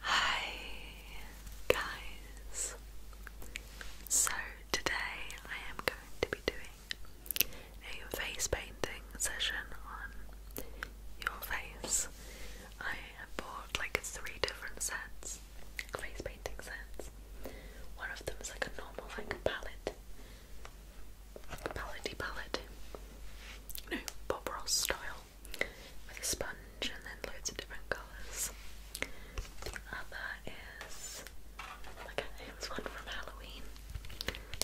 Hi guys! So today I am going to be doing a face painting session on your face. I have bought like three different sets, face painting sets. One of them is like a normal like palette, paletty palette, you know, Bob Ross style with a sponge and then loads of different colours. The other is like a, it one from Halloween.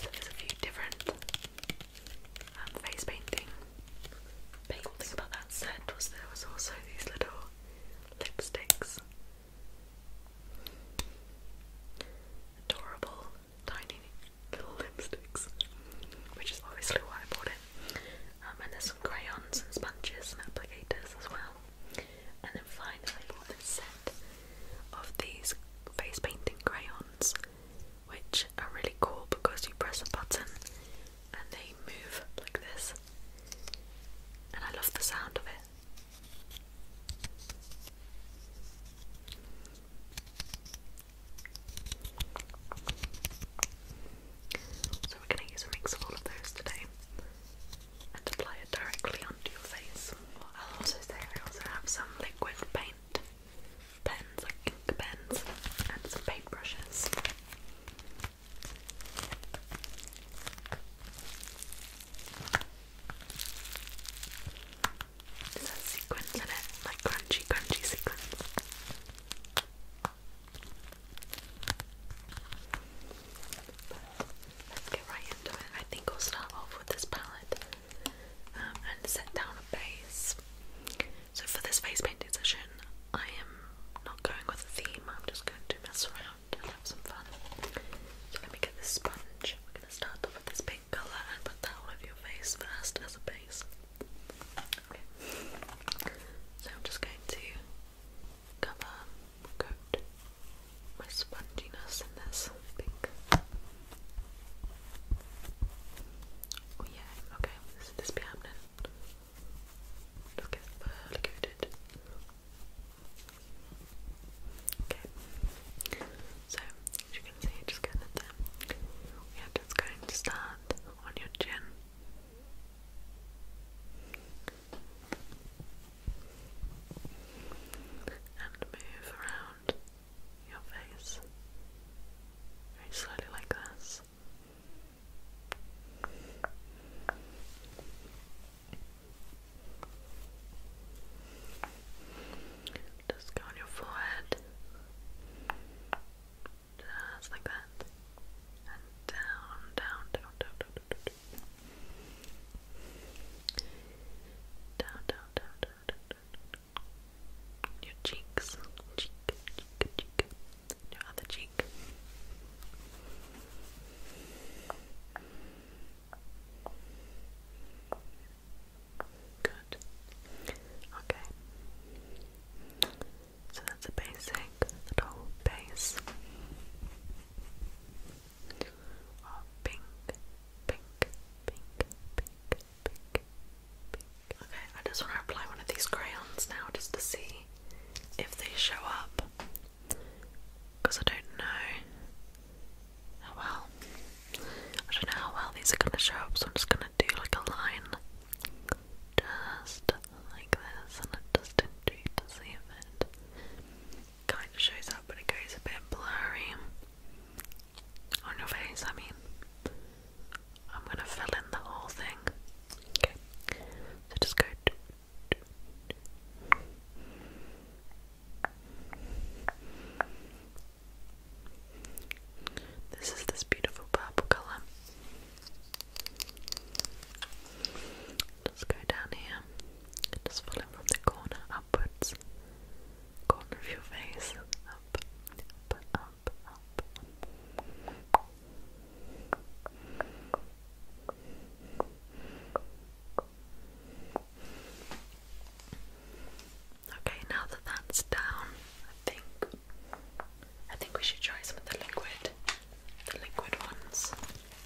So there's a few different um, face painting. The cool about that set was there was also these little lipsticks. Adorable tiny little lipsticks, which is obviously why I bought it. Um, and there's some crayons and sponges and applicators as well. And then finally, this set of these face painting crayons, which are really cool because you press a button and they move like this. And I love the sound of it. So we're going to use a mix of all of those today and apply it directly onto your face. I'll also say I also have some liquid paint pens, like ink pens, and some paintbrushes. brushes. It sequins in it, like crunchy, crunchy sequins let's get right into it. I think I'll start off with this palette um, and set down a base. So for this face painting session, I am not going with a theme. I'm just going to mess around and have some fun. So let me get this sponge. We're going to start off with this pink colour and put that all over your face first as a base. Okay. So I'm just going to cover, my sponginess in this, I Oh yeah, okay, so this be happening. Just get thoroughly coated. Okay. So as you can see, just getting it there. Yeah, just going to start on your chin. And move around your face slowly, like this. Just go on your forehead, just like that, and down, down, down, down, down, down, down, down, down, down, down, your cheeks, cheek, cheek, cheek, your other cheek. Good. Okay. So that's a basic little base oh, pink, pink, pink, pink, pink, pink. Okay, I just want to apply one of these crayons now just to see if they show up. Because I don't know how well. I don't know how well these are going to show up, so I'm just going to do like a line just like this, and I'm just in to see if it kind of shows up, but it goes a bit blurry on your face. I mean, I'm gonna fill in the whole thing. Okay, just go. This is this beautiful purple colour. Just go down here just follow from the corner upwards. Corner of your face. Up, up, up, up. Okay, now that that's down, I think I think we should try some of the liquid, the liquid ones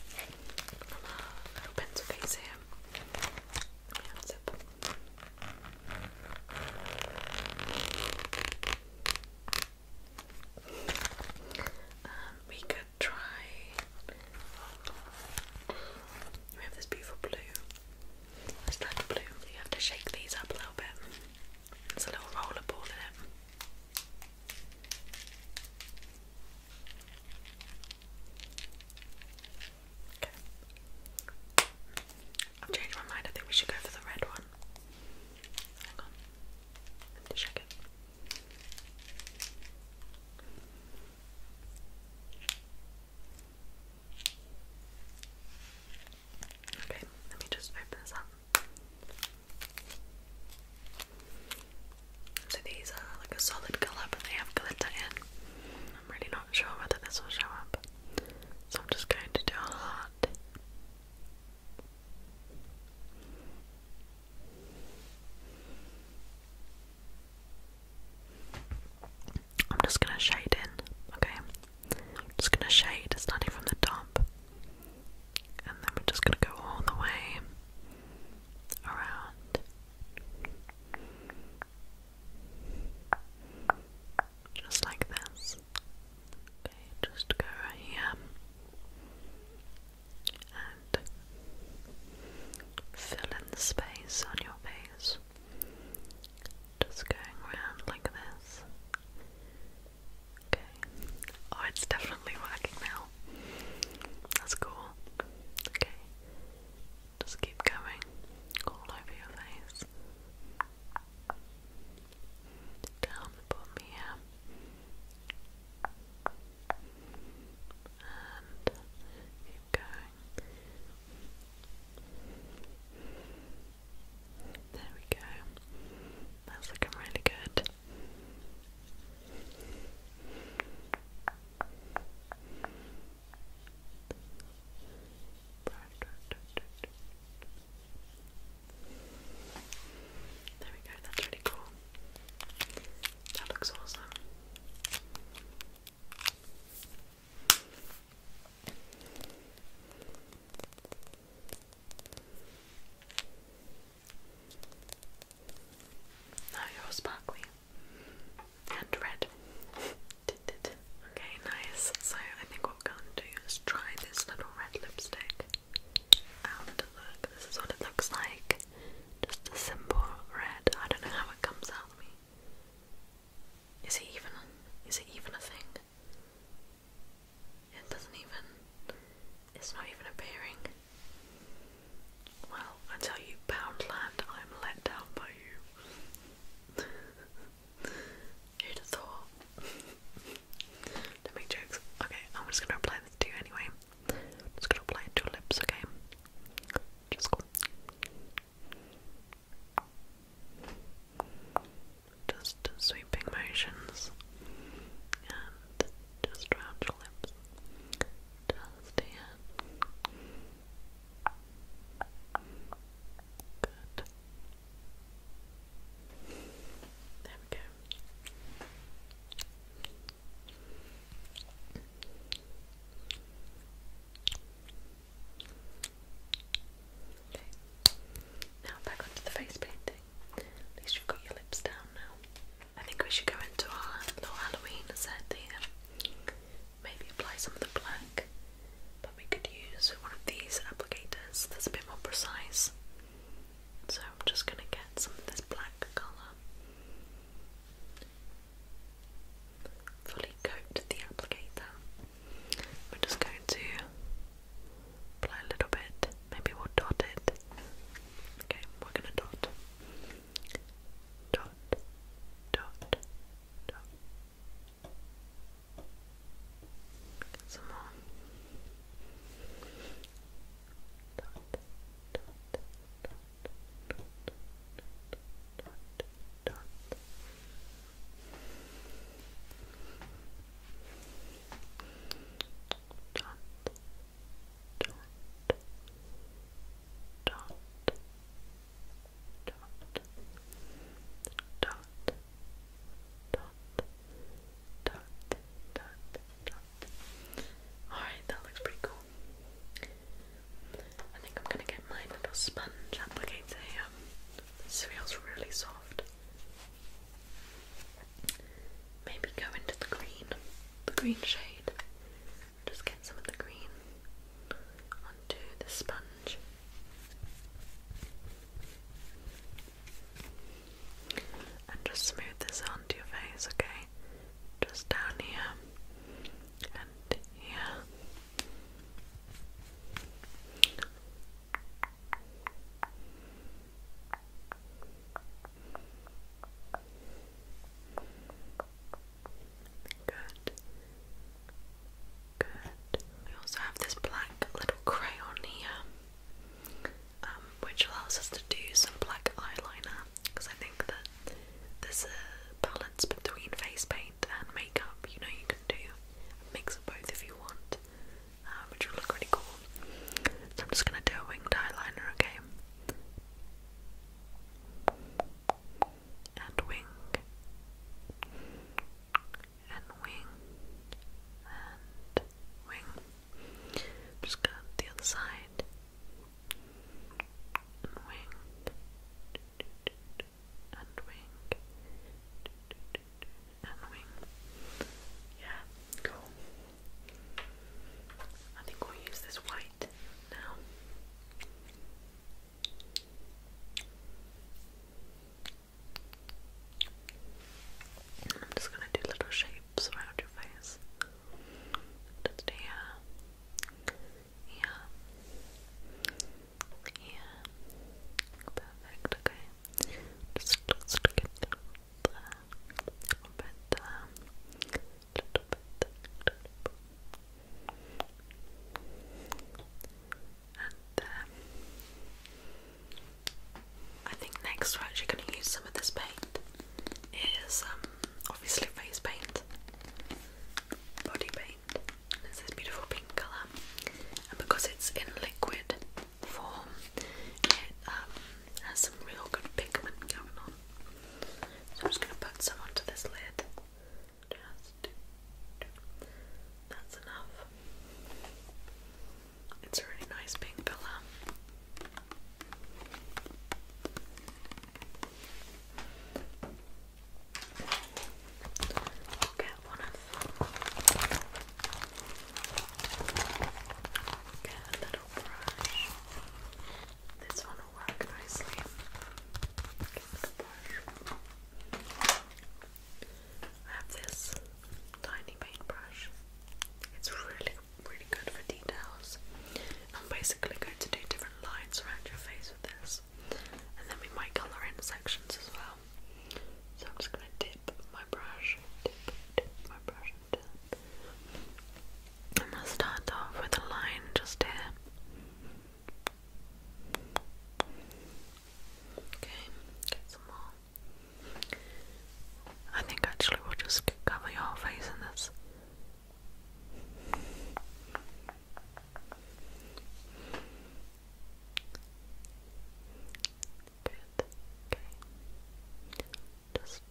from our little pencil case here. we could try. We have this beautiful blue. Let's blue. You have to shake these up a little bit. It's a little roller ball in it. Okay. I've changed my mind. I think we should go for the red one. Hang on. I have to Okay, let me just open this up. So these are like a solid colour, but they have glitter in. I'm really not sure whether this will show up. So I'm just going to do a lot. I'm just gonna shade in, okay? I'm just gonna shade starting from the top, and then we're just gonna go all the way around. Just like this. Okay, just go right here and fill in the space on your face. Just going around like this. Okay. Oh, it's definitely working now. That's cool. Okay. Just keep going all over your face. Down the bottom here. And keep going. There we go. That's looking really good. There we go, that's really cool. That looks awesome. Now you're sparkly and red. okay, nice. So I think what we're going to do is try this little red lipstick out. Look, this is what it looks like. Just a simple red. I don't know how it comes out. me. Is it even? Is it even a thing? It doesn't even, it's not even appearing. Well, I tell you, Poundland, I'm let down by you. Who'd have thought? do make jokes. Okay, I'm just gonna apply this to you anyway. I'm just gonna apply it to your lips, okay? Just go. Just sweeping motions and just round your lips. Just here. Good. There we go. Now back onto the face painting. At least you've got your lips down now. I think we should go into our little Halloween set here. Maybe apply some of the black, but we could use one of these applicators that's a bit more precise. So I'm just gonna get some of this black colour. Fully coat the applicator. We're just going to apply a little bit. Maybe we'll dot it. Okay, we're gonna dot. Dot, dot, dot. Get Dot, dot, dot, dot, dot, dot, dot. Alright, that looks pretty cool. I think I'm gonna get my little sponge applicator here this feels really soft. Maybe go into the green, the green shade. Just get some of the green onto the sponge. And just smooth this onto your face, okay? Just down here and here. Good. Good. We also have this black little crayon here, um, which allows us to do some black eyeliner because I think that there's a balance between face paint and makeup. You know, do a mix of both if you want, uh, which will look really cool. So I'm just gonna do a winged eyeliner, okay? And wing, and wing, and wing. just go the other wing, and wing. And wing. Yeah, cool. I think we'll use this white now. I'm just gonna do little shapes around your face. Just here, here, yeah. Perfect, okay. Just, a little bit, um, little bit, little bit. And um, I think next we're actually going to use some of this paint. It is um, obviously face paint, body paint. It's this beautiful pink colour, and because it's in liquid form, it um, has some real good pigment going on. So I'm just going to put some onto this lid. Just, that's enough. It's a really nice pink colour i get one of get little brush. This one will work nicely. I have this tiny paintbrush. It's really, really good for details. I'm basically going to do different lines around your face with this. And then we might colour in sections as well. So I'm just gonna dip my brush, dip, dip my brush, dip. I'm gonna start off with a line just here. Okay, get some more. I think actually we'll just cover your face in this. Okay. Good. Okay. Just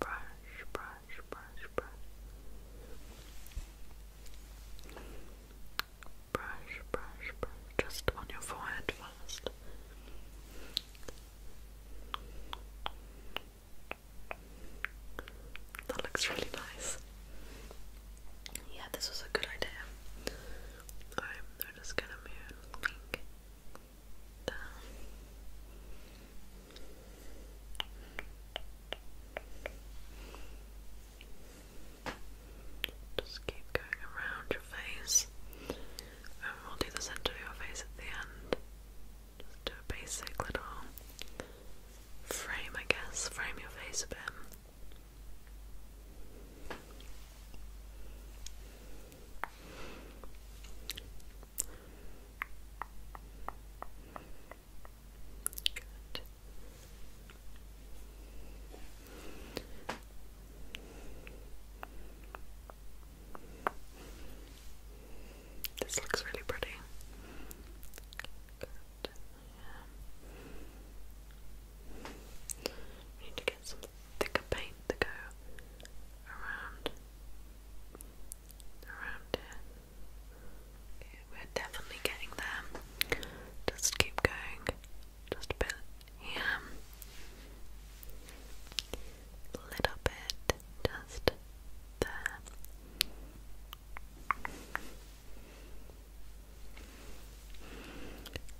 brush, brush, brush, brush. Brush, brush, brush. Just on your forehead first. That looks really nice. Yeah, this was a good idea. Alright, we just gonna move down. Just keep going around your face, and we'll do the center of your face at the end. Just do a basic little frame, I guess, frame your face a bit. This looks really pretty. Yeah. We need to get some thicker paint to go around around here. we're definitely getting there. Just keep going. Just a here. A little bit just there.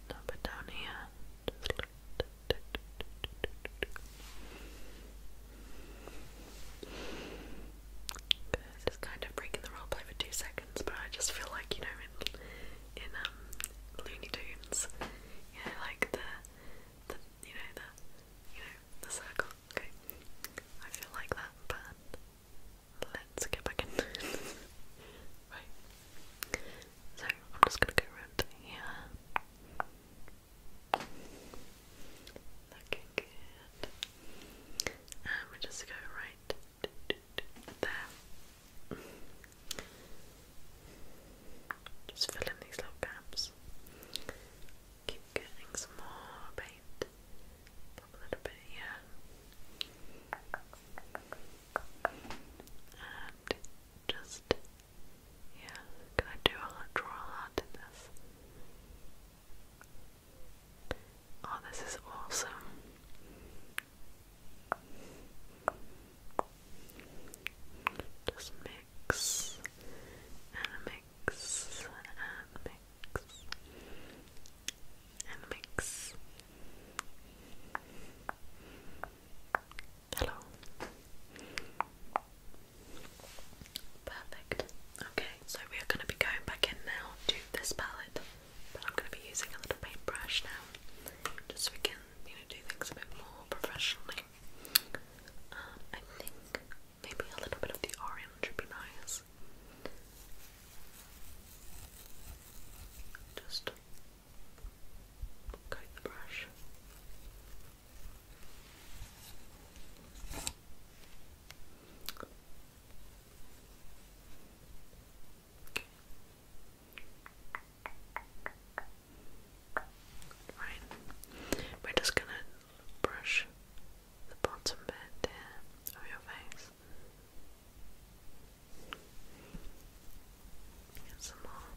Dump down here. Just kind of breaking the roleplay for two seconds, but I just feel like you know in in um, Looney Tunes, you know, like the the you know the you know the circle. Okay. I feel like that, but let's get back in. right. So I'm just gonna go around here. Looking good. And we just go right there. Just fill in these little gaps. Keep getting some more paint. a little bit here. And just, yeah, can I do a draw in this? Oh, this is awesome. Just mix and mix and mix and mix. Hello. Perfect. Okay, so we are going to be going back in now to this palette, but I'm going to be using a little paintbrush now, just so we can, you know, do things a bit more professionally. Um, I think Maybe a little bit of the orange would be nice. Just coat the brush. Okay. Right. We're just gonna brush the bottom bit of your face. Get some more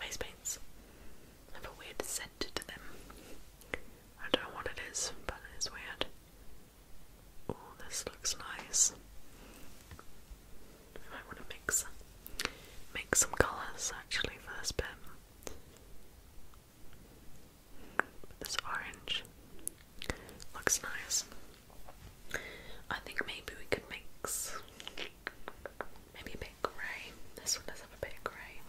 face paints. have a weird scent to them. I don't know what it is, but it is weird. Oh, this looks nice. I want to mix, mix some colours actually for bit. This orange looks nice. I think maybe we could mix maybe a bit grey. This one does have a bit of grey.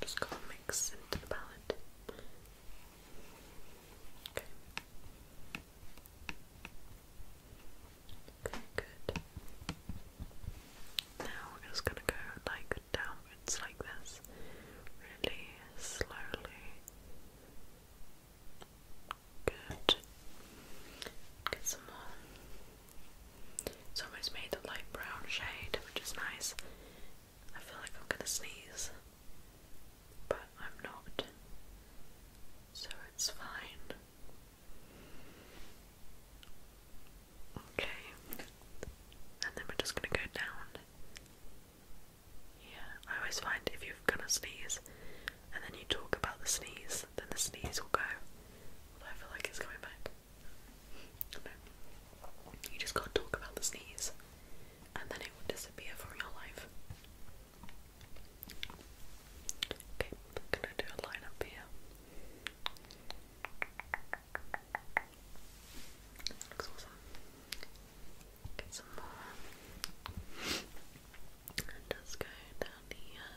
Just gonna mix into the palette. Okay. Okay, good. Now we're just gonna go like downwards like this, really slowly. Good. Get some more. It's almost made a light brown shade, which is nice. I feel like I'm gonna sneeze but I'm not, so it's fine. Okay, and then we're just gonna go down. Yeah, I always find if you're gonna sneeze and then you talk about the sneeze, then the sneeze will go. Although I feel like it's coming back. No. You just can't talk about the sneeze and then it will disappear from your life. Okay, i gonna do a line up here. looks awesome. Get some more. just go down here.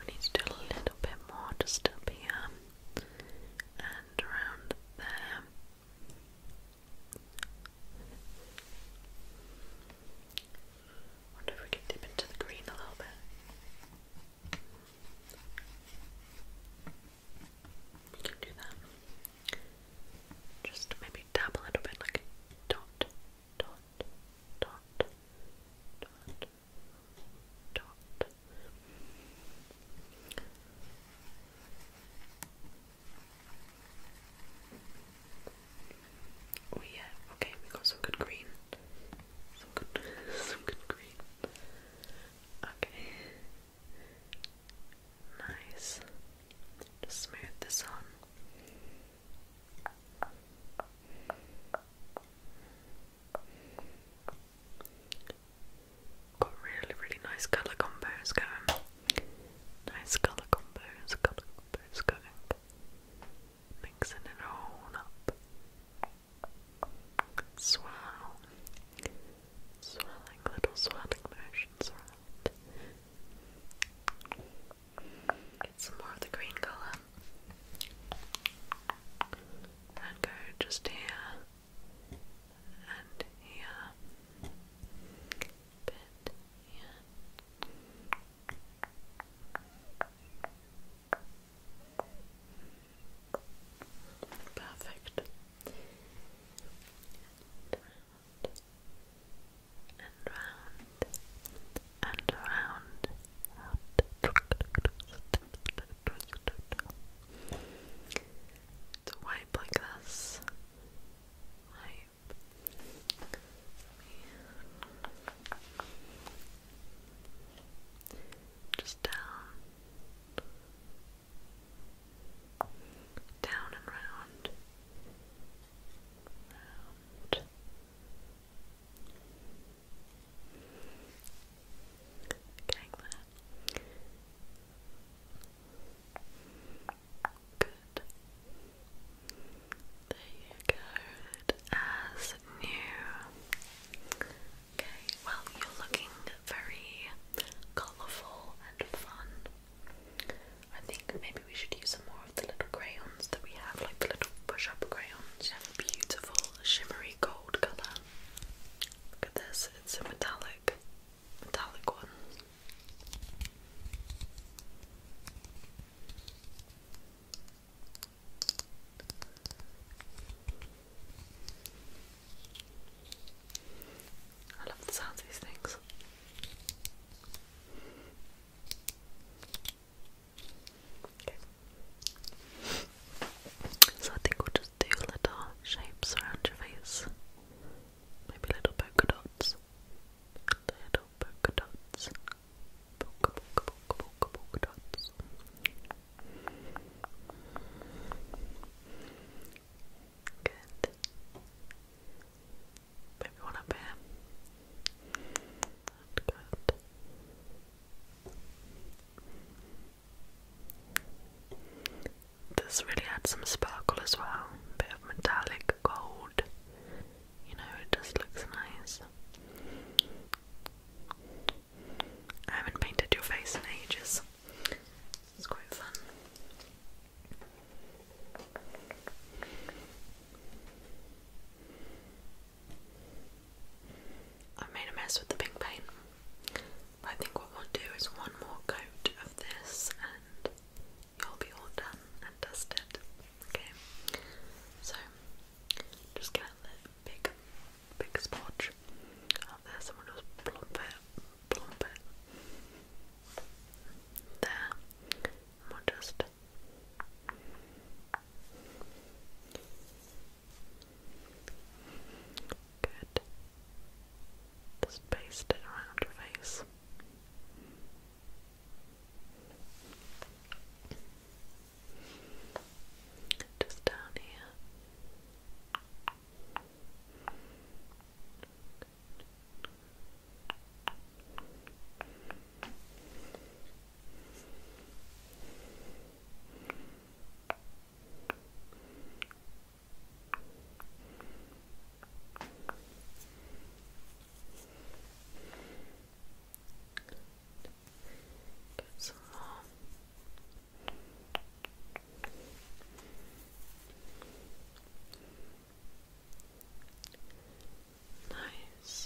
I need to do a little bit more just up here and around Wonder if we can dip into the green a little bit. We can do that. Just maybe dab a little bit like a dot, dot, dot, dot. Oh yeah, okay, we got some good green. Some good green. Okay. Nice. Just smooth this on. Got really, really nice colour combos going. Nice colour combos, colour combos Mixing it all up. Swirl. Swirling little swirling motions around. Get some more of the green colour. And go just here and here, bit here. Perfect. And round and round to wipe like this. Wipe. Just down. Down and round. Round. Good. There you go. as new. Okay, well, you're looking very colourful and fun. I think maybe we should use some more of the little crayons that we have, like the little push up crayons. beautiful shimmery gold colour. Look at this, it's a metallic, metallic one. I love the sound of these things. So I think we'll just do little shapes around your face. Maybe little polka dots. Little polka dots. Polka, polka, polka, polka, polka dots. Good. Maybe one up here. And good. This really adds some sparkle as well, bit of metallic gold. You know, it just looks nice. I haven't painted your face in ages. It's quite fun. I made a mess with the pink paint. I think what we'll do is one more coat of this and you'll be all done and dusted. Okay. So just get a big big splotch up there, someone just plump it, plump it. There. Good. Just paste it around your face. Just down here. Get some more. Nice.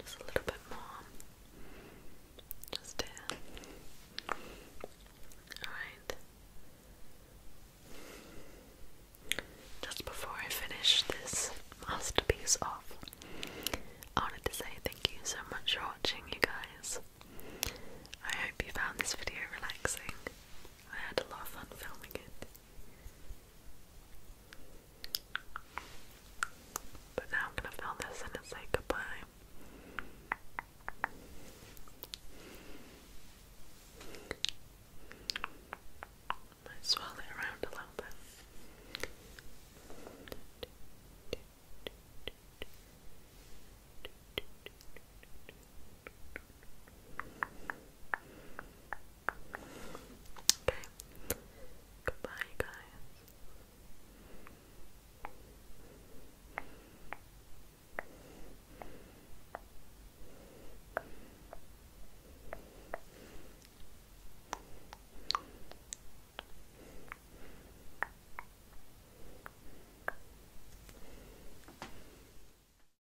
Just a little bit more. Just here. Alright. Just before I finish this masterpiece off, I wanted to say thank you so much for watching, you guys. I hope you found this video relaxing. I had a lot of fun filming it. But now I'm gonna film this and it's goodbye. Might swirl it around a little bit. Okay. Goodbye, guys.